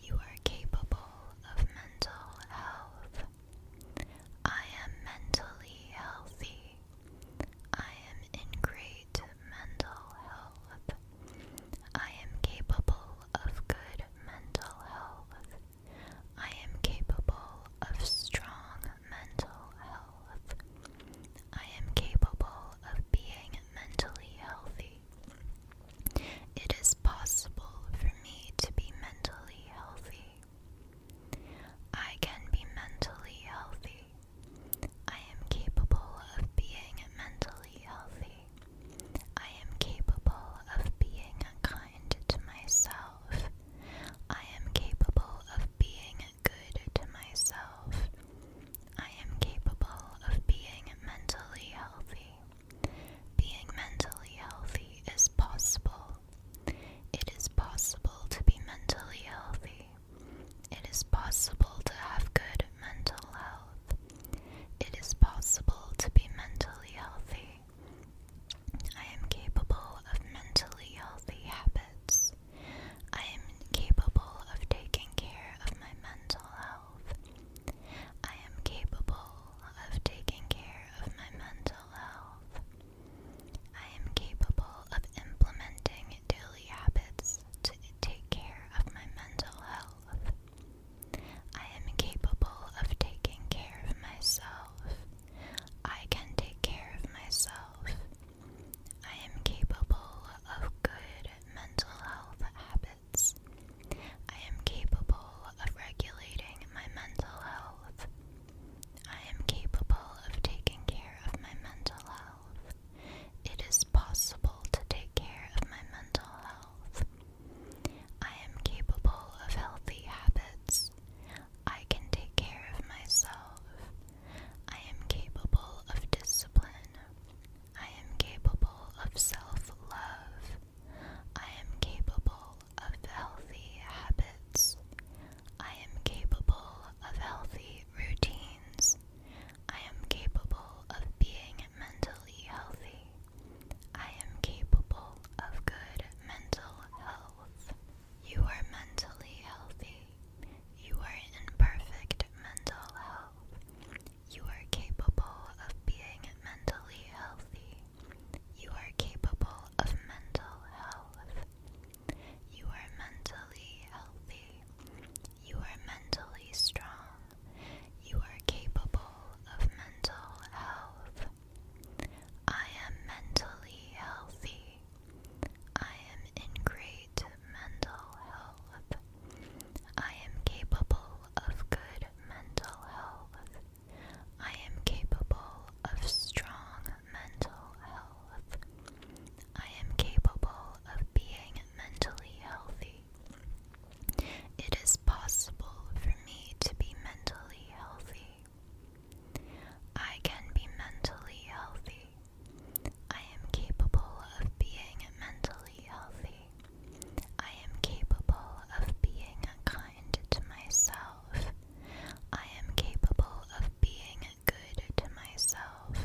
You are capable of mental health. I am mentally healthy. I am in great mental health. I am capable of good mental health. I am capable of strong mental health. I am capable of being mentally healthy. It is possible for me to be mentally healthy. I can be mentally healthy. I am capable of being mentally healthy. I am capable of being kind to myself. I am capable of being good to myself. I am capable of being mentally healthy. Being mentally healthy is possible. It is possible to be mentally healthy. It is possible to have good mental health. It is possible to be mentally healthy. I am capable of mentally healthy habits. I am capable of taking care of my mental health. I am capable of taking care of my mental health. I am capable of implementing daily habits to take care of my mental health. I am capable of taking care of myself. I can take care of myself. I am capable of good mental health habits. I am capable of regulating my mental health. I am capable of taking care of my mental health. It is possible to take care of my mental health. I am capable of healthy habits. I can take care of myself. I am capable of discipline. I am capable of self love. I am capable of healthy habits. I am capable of healthy routines. I am capable of being mentally healthy. I am capable of good mental health. You are mentally healthy. You are in perfect mental health. You are capable of being mentally healthy. You are capable of mental health. You are mentally healthy. You are mentally strong. You are capable of mental health. I am mentally healthy. I am in great mental health. I am capable of good mental health. I am capable of strong mental health. I am capable of being mentally healthy. It is possible for me to be mentally healthy. I can be mentally healthy. I am capable of being mentally healthy. I am capable of being kind to myself. I am capable of being good to myself.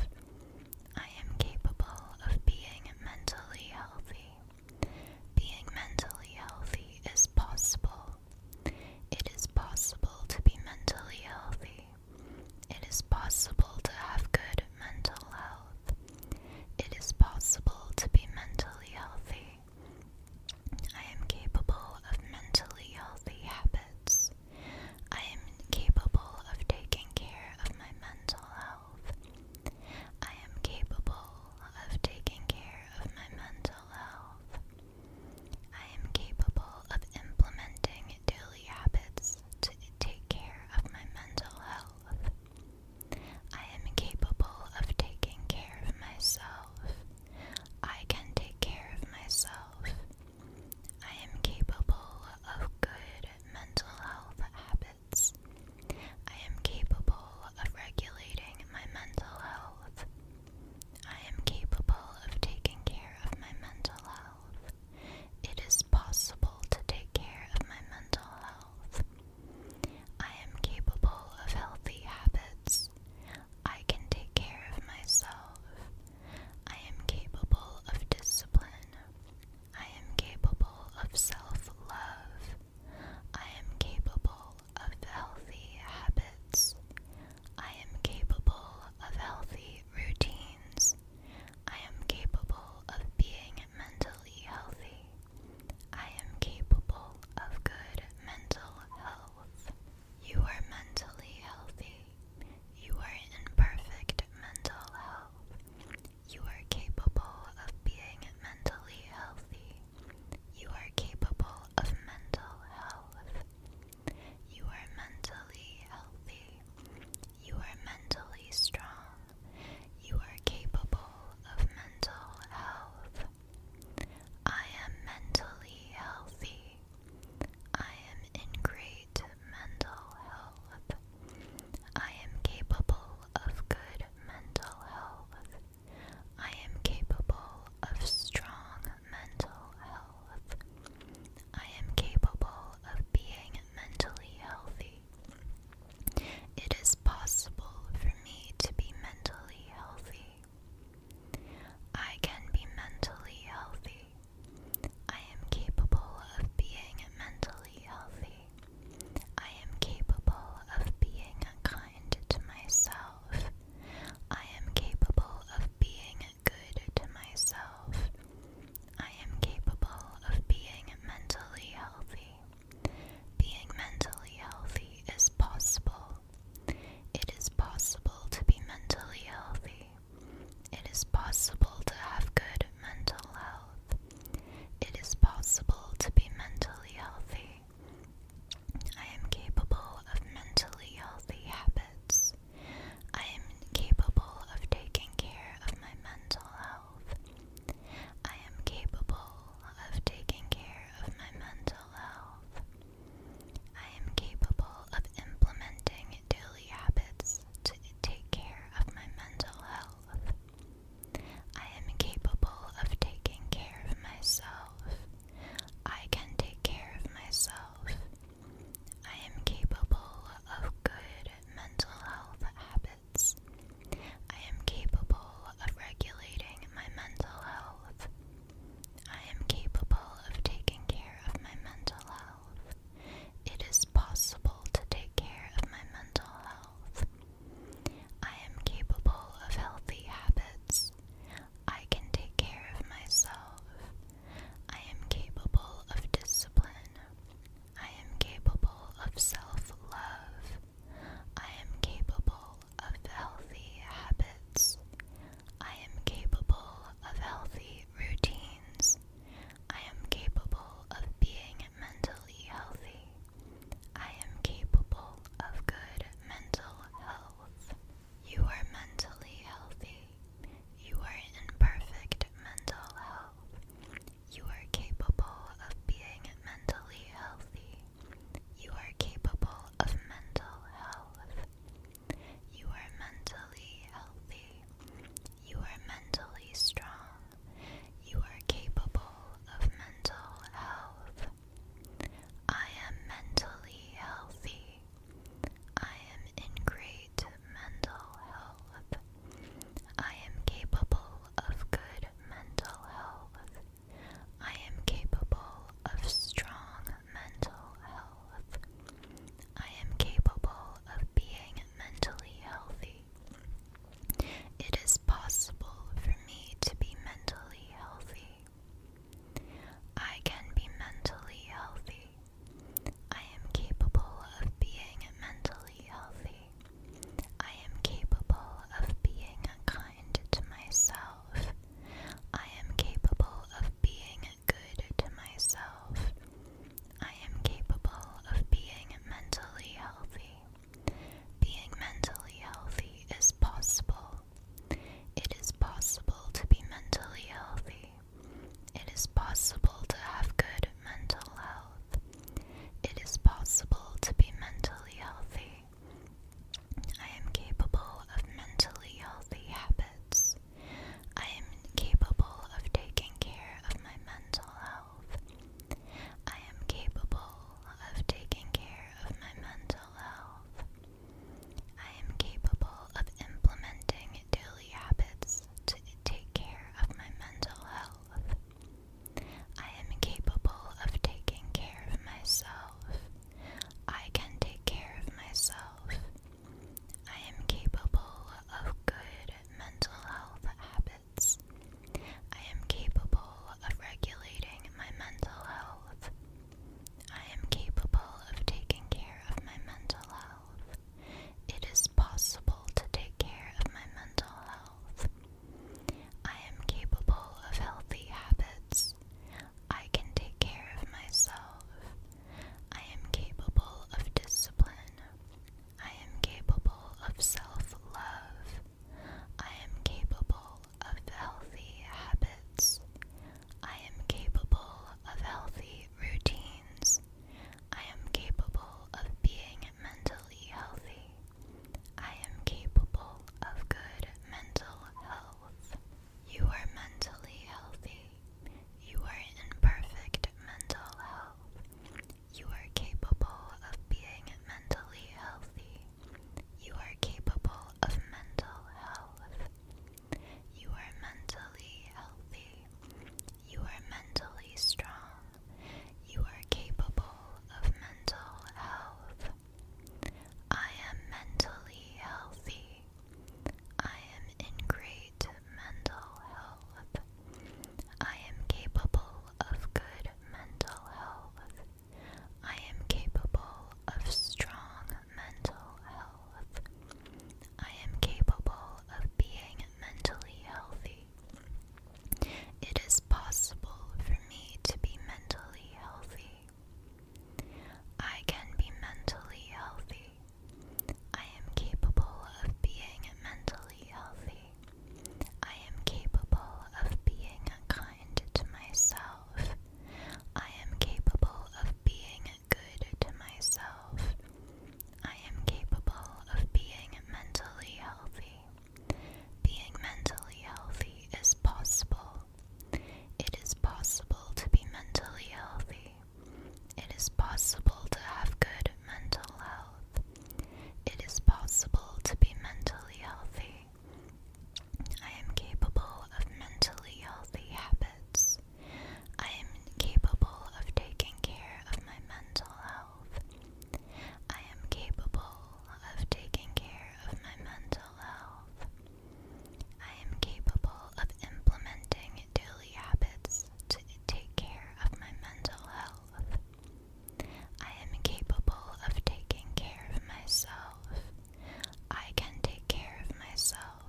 I am capable of being mentally healthy. Being mentally healthy is possible. It is possible to be mentally healthy. It is possible to have good mental health. It is possible to be mentally healthy. I am capable of mentally healthy habits. I am capable of taking care of my mental health. I am capable of taking care of my mental health. I am capable of implementing daily habits to take care of my mental health. I am capable of taking care of myself. I can take care of myself. I am capable of good mental health habits. I am capable of regulating my mental health. I am capable of taking care of my mental health. It is possible to take care of my mental health. I am capable of healthy habits. I can take care of myself. I am capable of discipline. I am capable of self love. I am capable of healthy habits. I am capable of healthy routines. I am capable of being mentally healthy. I am capable of good mental health. You are mentally healthy. You are in perfect mental health. You are capable of being mentally healthy. You are capable of mental health. You are mentally healthy. You are mentally strong. You are capable of mental health. I am mentally healthy. I am in great mental health. I am capable of good mental health. I am capable of strong mental health. I am capable of being mentally healthy. It is possible for me to be mentally healthy. I can be mentally healthy. I am capable of being mentally healthy. I am capable of being kind to myself. I am capable of being good to myself. I am capable of being mentally healthy. Being mentally healthy is possible. It is possible to be mentally healthy. It is possible to have good mental health. It is possible to be mentally healthy. I am capable of mentally healthy habits. I am capable of taking care of my mental health. I am capable of taking care of my mental health. I am capable of implementing daily habits to take care of my mental health. I am capable of taking care of myself. I can take care of myself. I am capable of good mental health habits. I am capable of regulating my mental health. I am capable of taking care of my mental health. It is possible to take care of my mental health. I am capable of healthy habits. I can take care of myself. I am capable of discipline. I am capable of self love. I am capable of healthy habits. I am capable of healthy routines. I am capable of being mentally healthy. I am capable of good mental health. You are mentally healthy. You are in perfect mental health. You are capable of being mentally healthy. You are capable of mental health. You are mentally healthy. You are mentally strong. You are capable of mental health. I am mentally healthy. I am in great mental health. I am capable of good mental health. I am capable of strong mental health. I am capable of being mentally healthy. It is possible for me to be mentally healthy. I can be mentally healthy. I am capable of being mentally healthy. I am capable of being kind to myself. I am capable of being good to myself. I am capable of being mentally healthy. Being mentally healthy is possible. It is possible to be mentally healthy. It is possible to have good mental health. It is possible to be mentally healthy. I am capable of mentally healthy habits. I am capable of taking care of my mental health. I am capable of taking care of my mental health. I am capable of implementing daily habits to take care of my mental health. I am capable of taking care of myself. I can take care of myself. I am capable of good mental health habits. I am capable of regulating my mental health. I am capable of taking care of my mental health. It is possible to take care of my mental health. I am capable of healthy habits. I can take care of myself. I am capable of discipline. I am capable of self love. I am capable of healthy habits. I am capable of healthy routines. I am capable of being mentally healthy. I am capable of good mental health. You are mentally healthy. You are in perfect mental health. You are capable of being mentally healthy. You are capable of mental health. You are mentally healthy. You are mentally strong. You are capable of mental health. I am mentally healthy. I am in great mental health. I am capable of good mental health. I am capable of strong mental health. I am capable of being mentally healthy. It is possible for me to be mentally healthy. I can be mentally healthy. I am capable of being mentally healthy. I am capable of being kind to myself. I am capable of being good to myself. I am capable of being mentally healthy. Being mentally healthy is possible. It is possible to be mentally healthy. It is possible to have good mental health. It is possible to be mentally healthy. I am capable of mentally healthy habits. I am capable of taking care of my mental health. I am capable of taking care of my mental health. I am capable of implementing daily habits to take care of my mental health. I am capable of taking care of myself. I can take care of myself.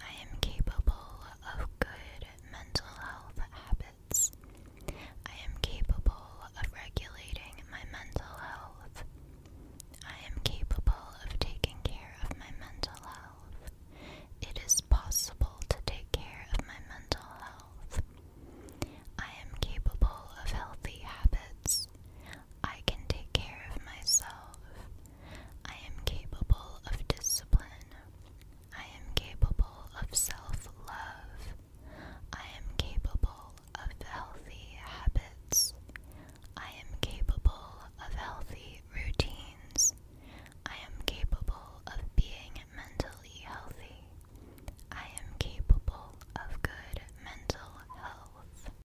I am capable of good mental health habits. I am capable of regulating my mental health. I am capable of taking care of my mental health. It is possible to take care of my mental health. I am capable of healthy habits. I can take care of myself. I am capable of discipline. I am capable of self love. I am capable of healthy habits. I am capable of healthy routines. I am capable of being mentally healthy. I am capable of good mental health.